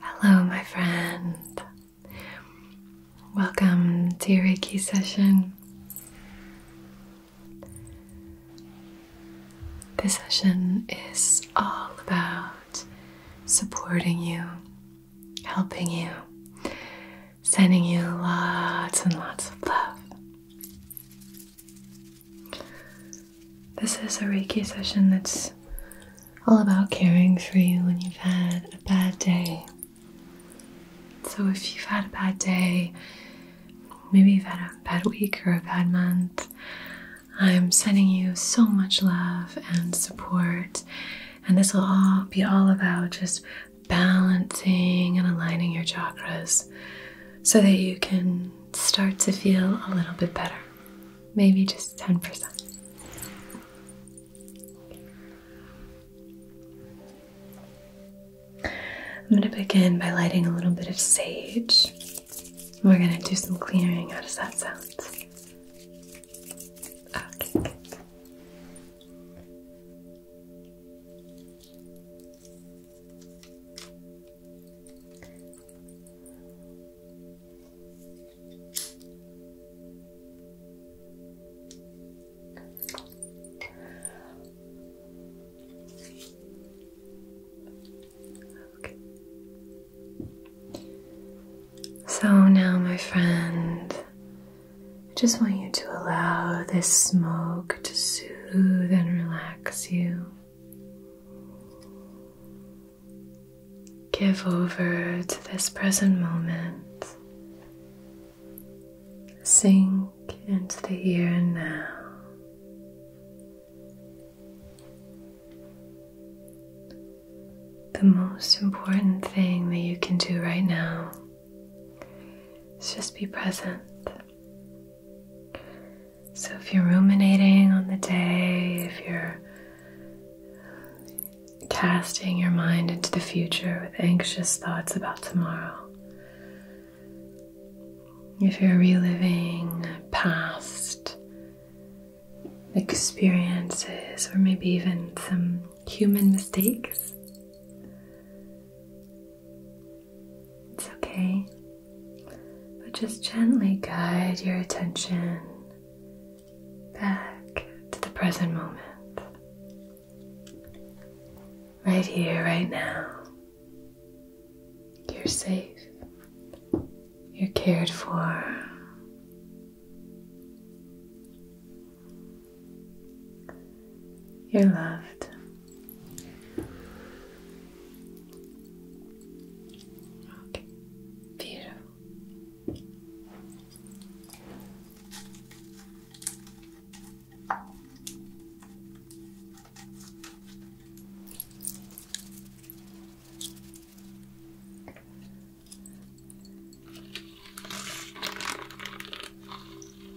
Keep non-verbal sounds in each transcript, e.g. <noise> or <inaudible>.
Hello, my friend. Welcome to your Reiki session. This session is all about supporting you, helping you Sending you lots and lots of love. This is a Reiki session that's all about caring for you when you've had a bad day. So, if you've had a bad day, maybe you've had a bad week or a bad month, I'm sending you so much love and support. And this will all be all about just balancing and aligning your chakras so that you can start to feel a little bit better. Maybe just 10%. I'm going to begin by lighting a little bit of sage. We're going to do some clearing. How does that sound? Okay, so now, my friend, I just want you to allow this smoke to soothe and relax you. Give over to this present moment. Sink into the here and now. The most important thing that you can do right now it's just be present. So, if you're ruminating on the day, if you're casting your mind into the future with anxious thoughts about tomorrow, if you're reliving past experiences or maybe even some human mistakes, it's okay, but just gently guide your attention back to the present moment. Right here, right now. You're safe. You're cared for. You're loved. Beautiful.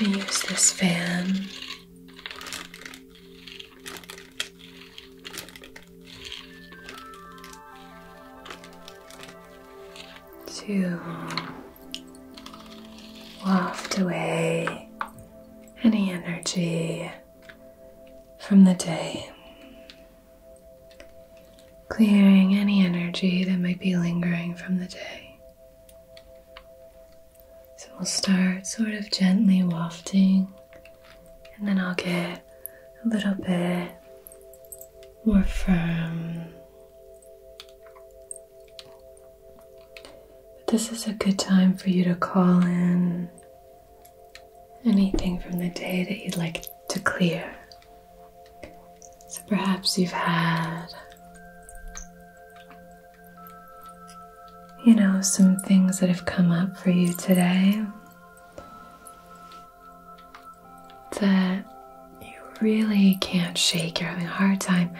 We use this fan. To waft away any energy from the day, clearing any energy that might be lingering from the day, so we'll start sort of gently wafting, and then I'll get a little bit more firm. But this is a good time for you to call in anything from the day that you'd like to clear. So perhaps you've had you know, some things that have come up for you today that you really can't shake. You're having a hard time.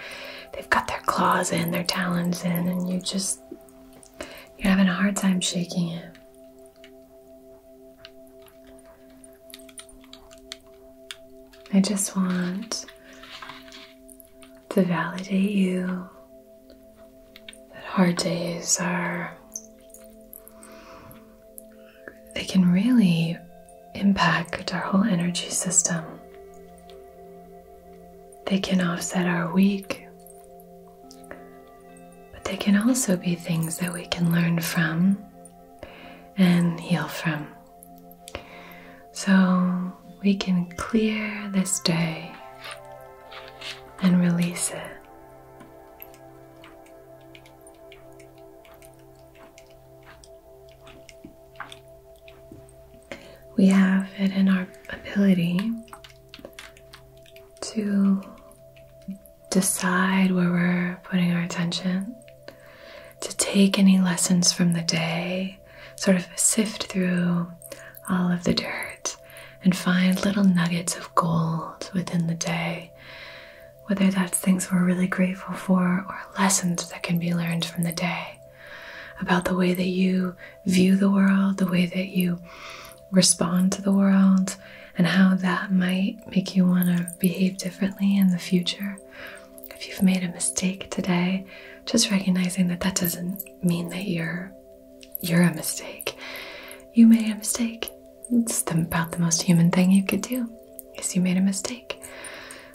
They've got their claws in, their talons in, and you just, you're having a hard time shaking it. I just want to validate you that hard days are, they can really impact our whole energy system. They can offset our week, but they can also be things that we can learn from and heal from. So we can clear this day and release it. We have it in our ability to decide where we're putting our attention to take any lessons from the day, sort of sift through all of the dirt and find little nuggets of gold within the day. Whether that's things we're really grateful for or lessons that can be learned from the day about the way that you view the world, the way that you respond to the world, and how that might make you want to behave differently in the future if you've made a mistake today, just recognizing that that doesn't mean that you're you're a mistake. You made a mistake. It's about the most human thing you could do is you made a mistake.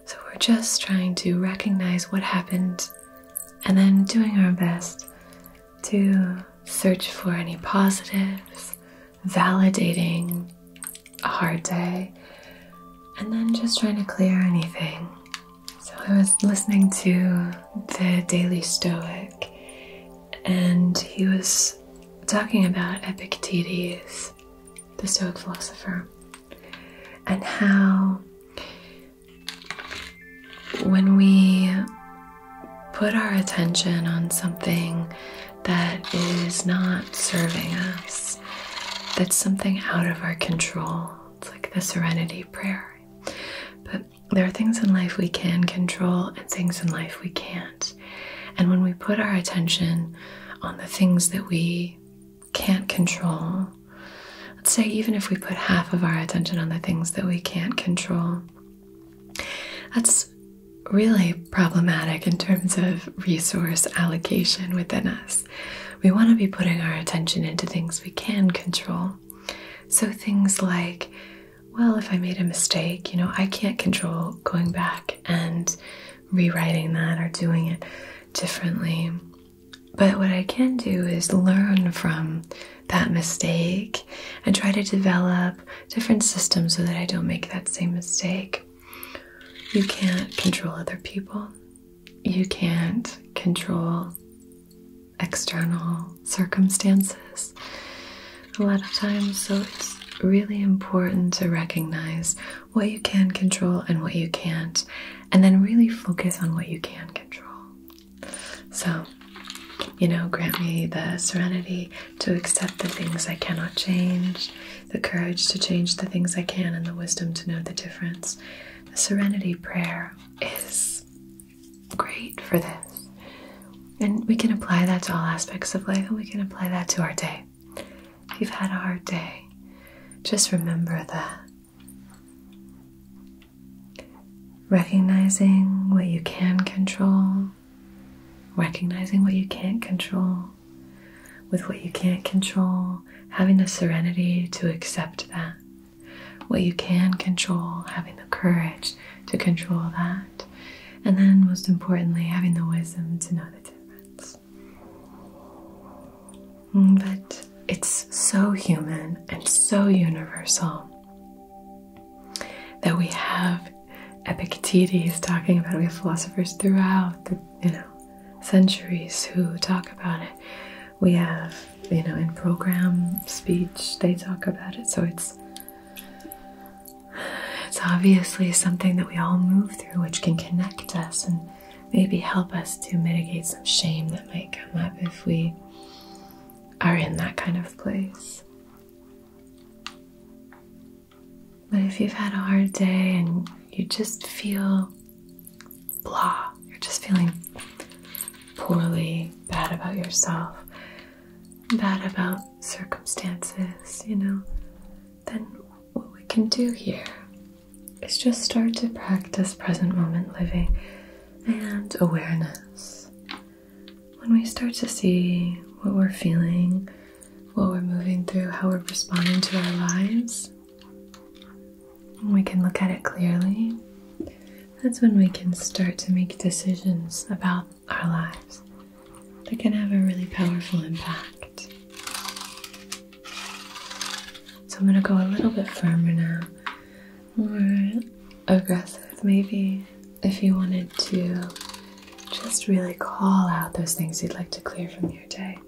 So we're just trying to recognize what happened and then doing our best to search for any positives, validating a hard day and then just trying to clear anything. So I was listening to the Daily Stoic and he was talking about Epictetus, the Stoic philosopher, and how when we put our attention on something that is not serving us, that's something out of our control. It's like the serenity prayer. But there are things in life we can control and things in life we can't. And when we put our attention on the things that we can't control, let's say even if we put half of our attention on the things that we can't control, that's really problematic in terms of resource allocation within us we want to be putting our attention into things we can control. So things like, well, if I made a mistake, you know, I can't control going back and rewriting that or doing it differently. But what I can do is learn from that mistake and try to develop different systems so that I don't make that same mistake. You can't control other people. You can't control external circumstances a lot of times. So it's really important to recognize what you can control and what you can't, and then really focus on what you can control. So, you know, grant me the serenity to accept the things I cannot change the courage to change the things I can, and the wisdom to know the difference. The serenity prayer is great for this. And we can apply that to all aspects of life, and we can apply that to our day. If you've had a hard day, just remember that. Recognizing what you can control, recognizing what you can't control, with what you can't control, having the serenity to accept that. What you can control, having the courage to control that. And then, most importantly, having the wisdom to know the difference. Mm, but it's so human and so universal that we have Epictetus talking about, it. we have philosophers throughout the you know, centuries who talk about it. We have, you know, in program speech they talk about it, so it's it's obviously something that we all move through which can connect us and maybe help us to mitigate some shame that might come up if we are in that kind of place. But if you've had a hard day and you just feel blah, you're just feeling poorly, bad about yourself, bad about circumstances, you know, then what we can do here is just start to practice present moment living and awareness. When we start to see what we're feeling, what we're moving through, how we're responding to our lives, we can look at it clearly, that's when we can start to make decisions about our lives that can have a really powerful impact. So I'm going to go a little bit firmer now, more aggressive maybe, if you wanted to just really call out those things you'd like to clear from your day.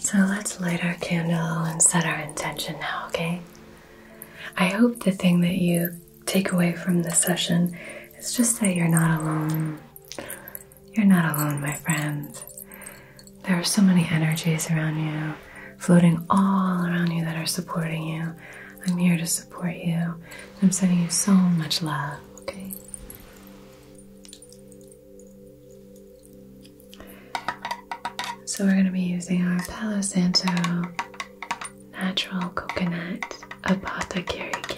So let's light our candle and set our intention now, okay? I hope the thing that you take away from this session is just that you're not alone. You're not alone, my friends. There are so many energies around you, floating all around you that are supporting you. I'm here to support you. I'm sending you so much love, okay? So we're going to be using our Palo Santo Natural Coconut Apothecary Candle.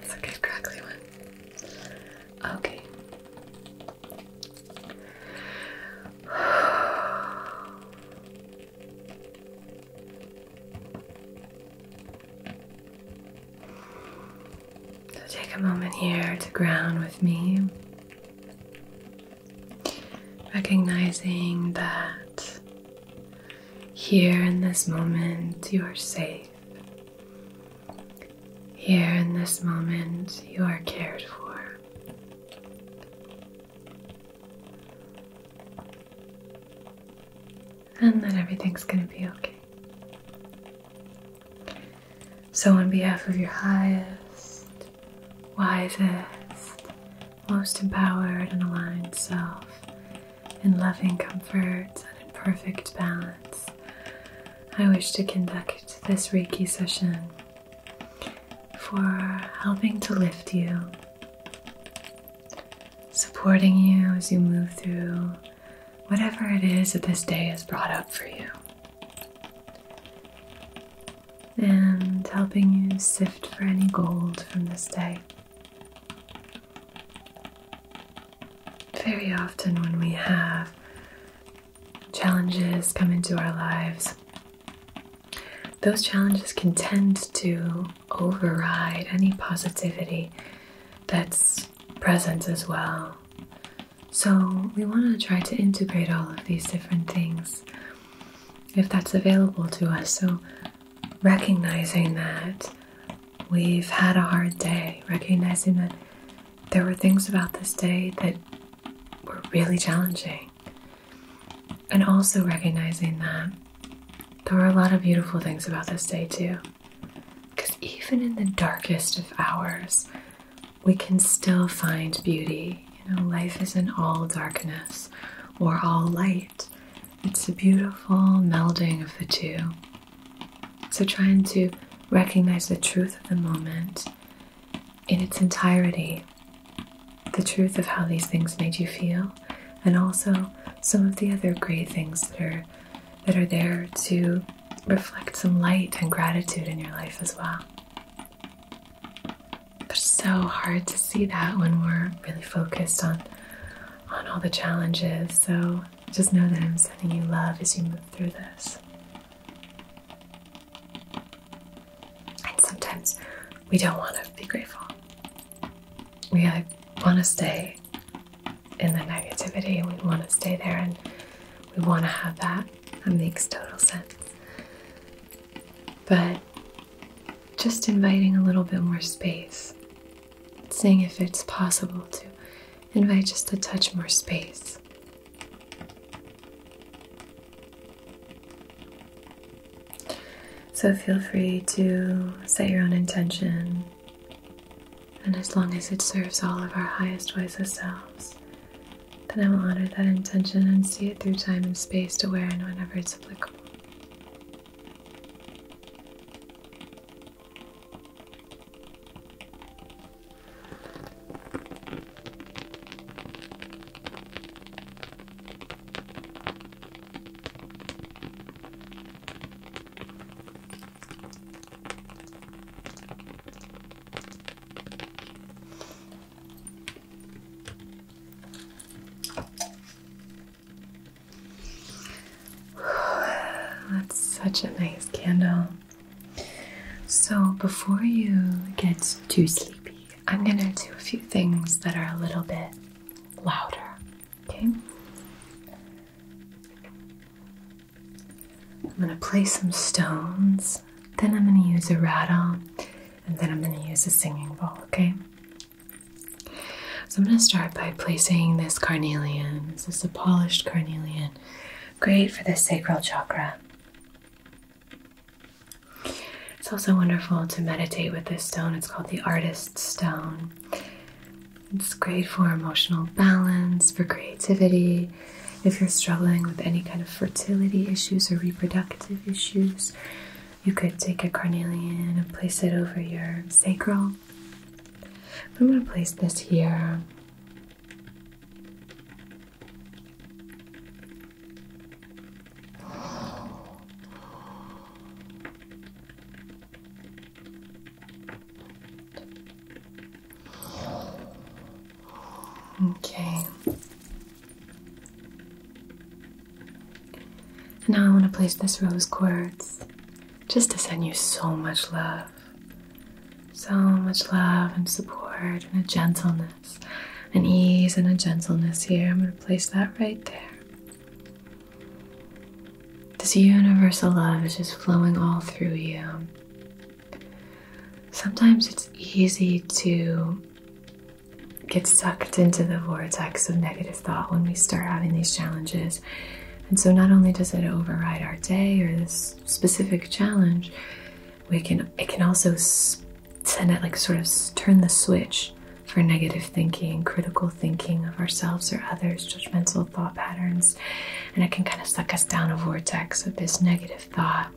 Gorgeous. crackly one. Okay. So take a moment here to ground with me, recognizing that here in this moment you are safe. Here in this moment, you are cared for and that everything's going to be okay. So, on behalf of your highest, wisest, most empowered and aligned self, in loving comfort and in perfect balance, I wish to conduct this Reiki session for helping to lift you, supporting you as you move through whatever it is that this day has brought up for you. And helping you sift for any gold from this day. Very often, when we have challenges come into our lives, those challenges can tend to override any positivity that's present as well. So, we want to try to integrate all of these different things if that's available to us. So, recognizing that we've had a hard day, recognizing that there were things about this day that were really challenging, and also recognizing that there were a lot of beautiful things about this day, too. Because even in the darkest of hours, we can still find beauty. You know, life isn't all darkness or all light, it's a beautiful melding of the two. So, trying to recognize the truth of the moment in its entirety, the truth of how these things made you feel, and also some of the other great things that are that are there to reflect some light and gratitude in your life as well. But it's so hard to see that when we're really focused on on all the challenges. So just know that I'm sending you love as you move through this. And sometimes we don't want to be grateful we want to stay in the negativity. We want to stay there and we want to have that. That makes total sense. But just inviting a little bit more space, seeing if it's possible to invite just a touch more space. So feel free to set your own intention and as long as it serves all of our highest, wisest selves, then I will honor that intention and see it through time and space to where and whenever it's applicable. <sighs> That's such a nice candle. So, before you get too sleepy, I'm going to do a few things that are a little bit louder Okay. I'm going to place some stones, then I'm going to use a rattle, and then I'm going to use a singing bowl, okay? So I'm going to start by placing this carnelian. This is a polished carnelian, great for the sacral chakra. It's also wonderful to meditate with this stone. It's called the Artist Stone. It's great for emotional balance, for creativity. If you're struggling with any kind of fertility issues or reproductive issues, you could take a carnelian and place it over your sacral. I'm going to place this here. Okay. And now I want to place this rose quartz just to send you so much love. So much love and support and a gentleness, an ease and a gentleness here. I'm going to place that right there. This universal love is just flowing all through you. Sometimes it's easy to get sucked into the vortex of negative thought when we start having these challenges. And so, not only does it override our day or this specific challenge, we can it can also send it like sort of turn the switch for negative thinking, critical thinking of ourselves or others, judgmental thought patterns, and it can kind of suck us down a vortex of this negative thought.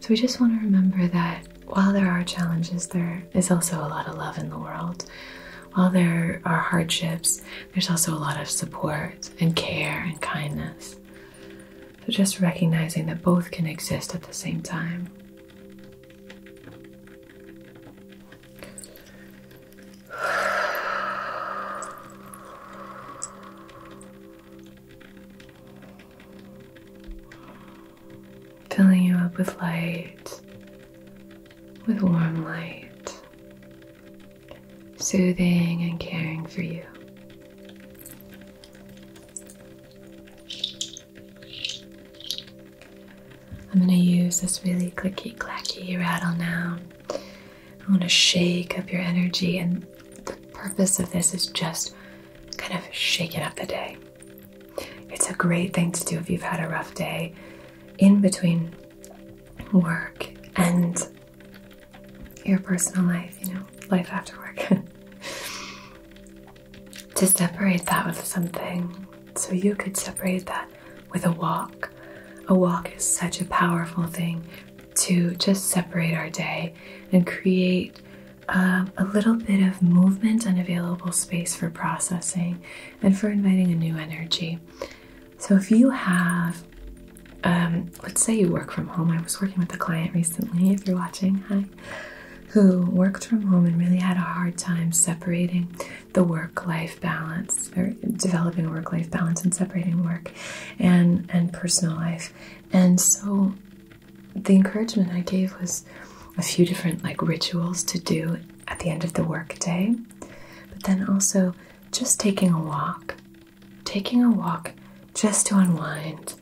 So we just want to remember that while there are challenges, there is also a lot of love in the world. While there are hardships, there's also a lot of support and care and kindness. So just recognizing that both can exist at the same time. Filling you up with light, with warm light, soothing and caring for you. I'm going to use this really clicky clacky rattle now. I want to shake up your energy, and the purpose of this is just kind of shaking up the day. It's a great thing to do if you've had a rough day in between work and your personal life, you know, life after work. <laughs> to separate that with something. So you could separate that with a walk. A walk is such a powerful thing to just separate our day and create um, a little bit of movement and available space for processing and for inviting a new energy. So if you have, um, let's say you work from home, I was working with a client recently, if you're watching, hi, who worked from home and really had a hard time separating the work life balance or developing work life balance and separating work and and personal life. And so the encouragement I gave was a few different like rituals to do at the end of the workday, but then also just taking a walk, taking a walk just to unwind,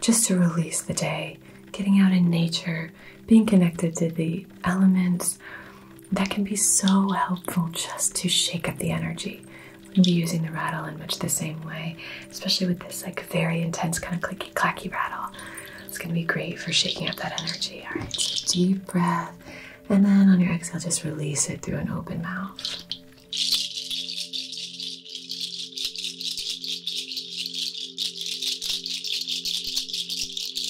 just to release the day, getting out in nature, being connected to the elements, that can be so helpful just to shake up the energy. We'll be using the rattle in much the same way, especially with this like very intense kind of clicky clacky rattle. It's gonna be great for shaking up that energy. All right, so deep breath. And then on your exhale, just release it through an open mouth.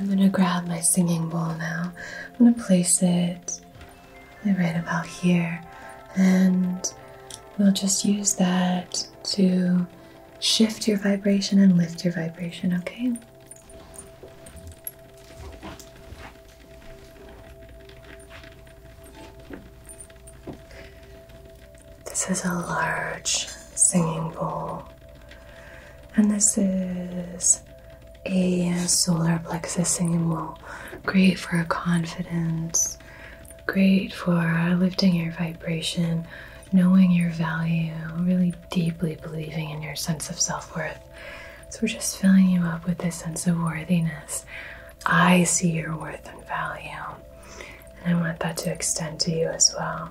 I'm going to grab my singing bowl now. I'm going to place it right about here. And we'll just use that to shift your vibration and lift your vibration, okay? This is a large singing bowl, and this is a uh, solar plexus symbol. Great for confidence, great for lifting your vibration, knowing your value, really deeply believing in your sense of self worth. So, we're just filling you up with this sense of worthiness. I see your worth and value, and I want that to extend to you as well.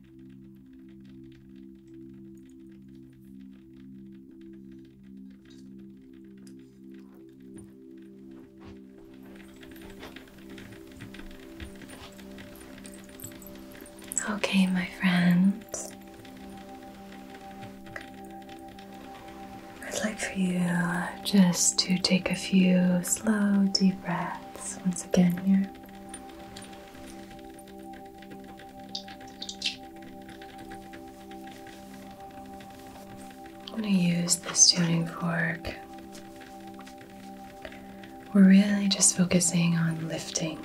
Okay, my friends, I'd like for you just to take a few slow, deep breaths once again here. I'm going to use this tuning fork. We're really just focusing on lifting.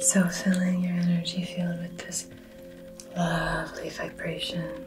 So filling your energy field with this lovely vibration.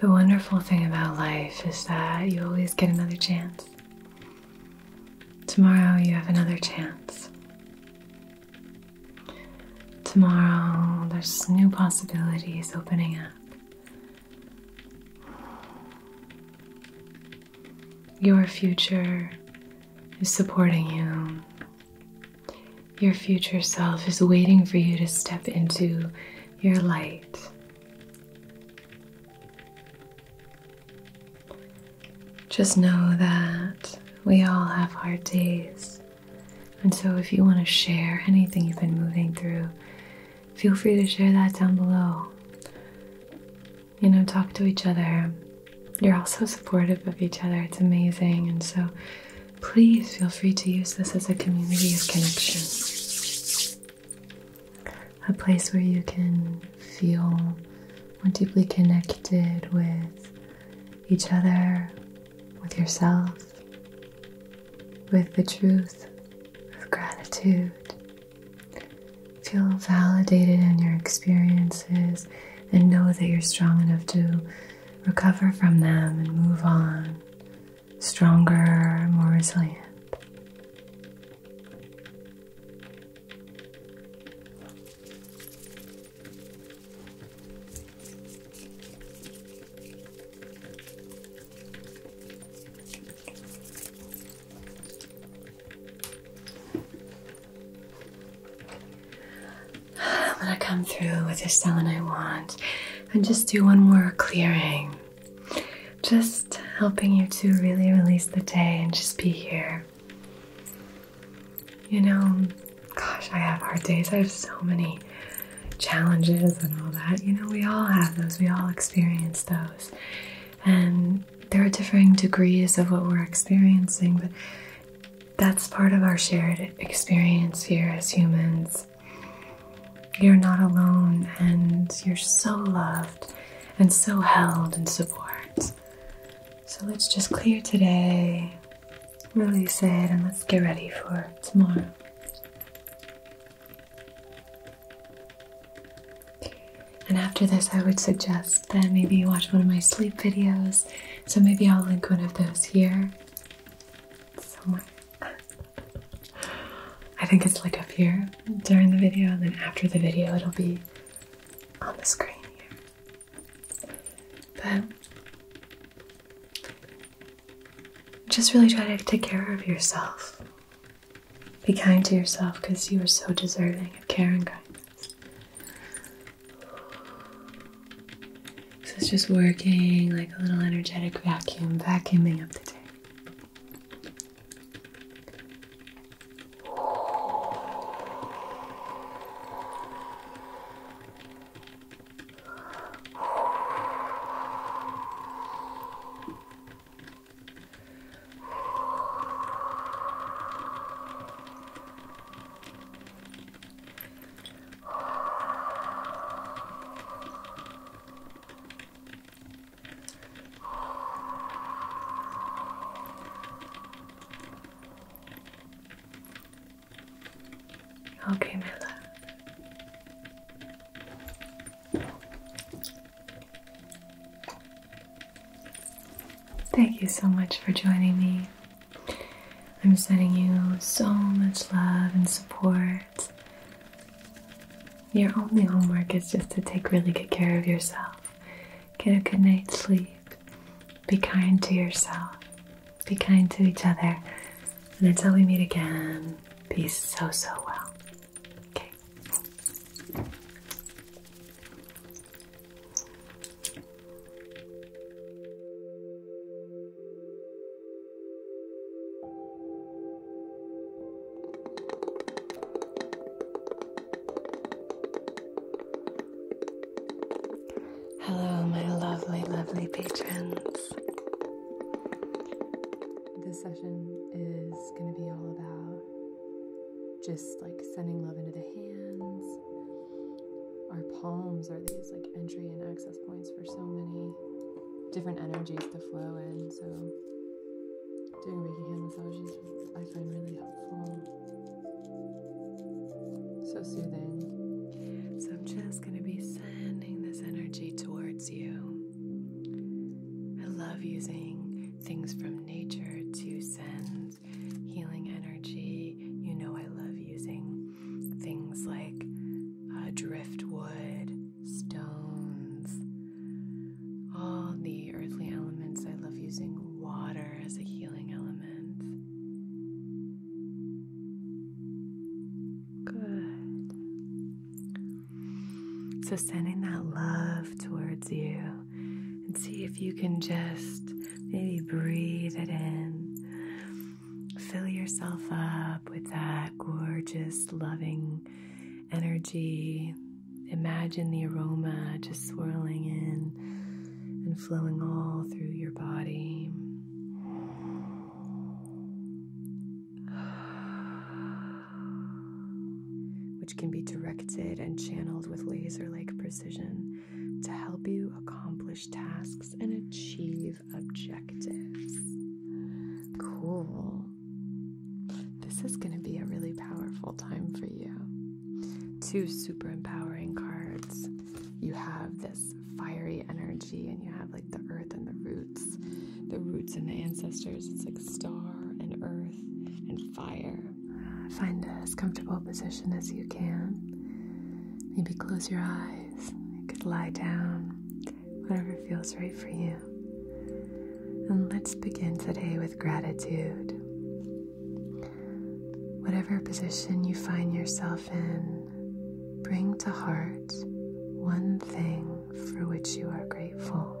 The wonderful thing about life is that you always get another chance. Tomorrow you have another chance. Tomorrow there's new possibilities opening up. Your future is supporting you. Your future self is waiting for you to step into your light. Just know that we all have hard days. And so, if you want to share anything you've been moving through, feel free to share that down below you know, talk to each other. You're all so supportive of each other. It's amazing. And so please feel free to use this as a community of connection, a place where you can feel more deeply connected with each other, with yourself, with the truth, with gratitude, Feel validated in your experiences and know that you're strong enough to recover from them and move on stronger, more resilient. I'm gonna come through with this stone I want and just do one more clearing. Just helping you to really release the day and just be here. You know, gosh, I have hard days. I have so many challenges and all that. You know, we all have those, we all experience those. And there are differing degrees of what we're experiencing, but that's part of our shared experience here as humans. You're not alone, and you're so loved, and so held and supported. So let's just clear today, release it, and let's get ready for tomorrow. And after this, I would suggest that maybe watch one of my sleep videos. So maybe I'll link one of those here somewhere. <laughs> I think it's like up here during the video, and then after the video, it'll be on the screen here. But just really try to take care of yourself. Be kind to yourself because you are so deserving of care and kindness. This is just working like a little energetic vacuum, vacuuming up the day. Okay, my love. Thank you so much for joining me. I'm sending you so much love and support. Your only homework is just to take really good care of yourself. Get a good night's sleep. Be kind to yourself. Be kind to each other. And until we meet again, be so, so well. Okay. Hello, my lovely, lovely patrons. This session is going to be all about just like sending love into the hands. Our palms are these like entry and access points for so many different energies to flow in. So doing Reiki hand massages I find really helpful. So soothing. So I'm just going to be sending this energy towards you. I love using things from nature to send healing energy. You know, I love using things like uh, driftwood, stones, all the earthly elements. I love using water as a healing element. Good. So, sending that love towards you and see if you can just maybe breathe it in. Fill yourself up with that gorgeous, loving energy. Imagine the aroma just swirling in and flowing all through your body which can be directed and channeled with laser like precision to help you accomplish tasks and achieve objectives. Cool. This is going to be a really powerful time for you. Two super empowering cards. You have this fiery energy, and you have like the earth and the roots, the roots and the ancestors. It's like star and earth and fire find as comfortable position as you can. Maybe close your eyes. You could lie down, whatever feels right for you. And let's begin today with gratitude. Whatever position you find yourself in, bring to heart one thing for which you are grateful.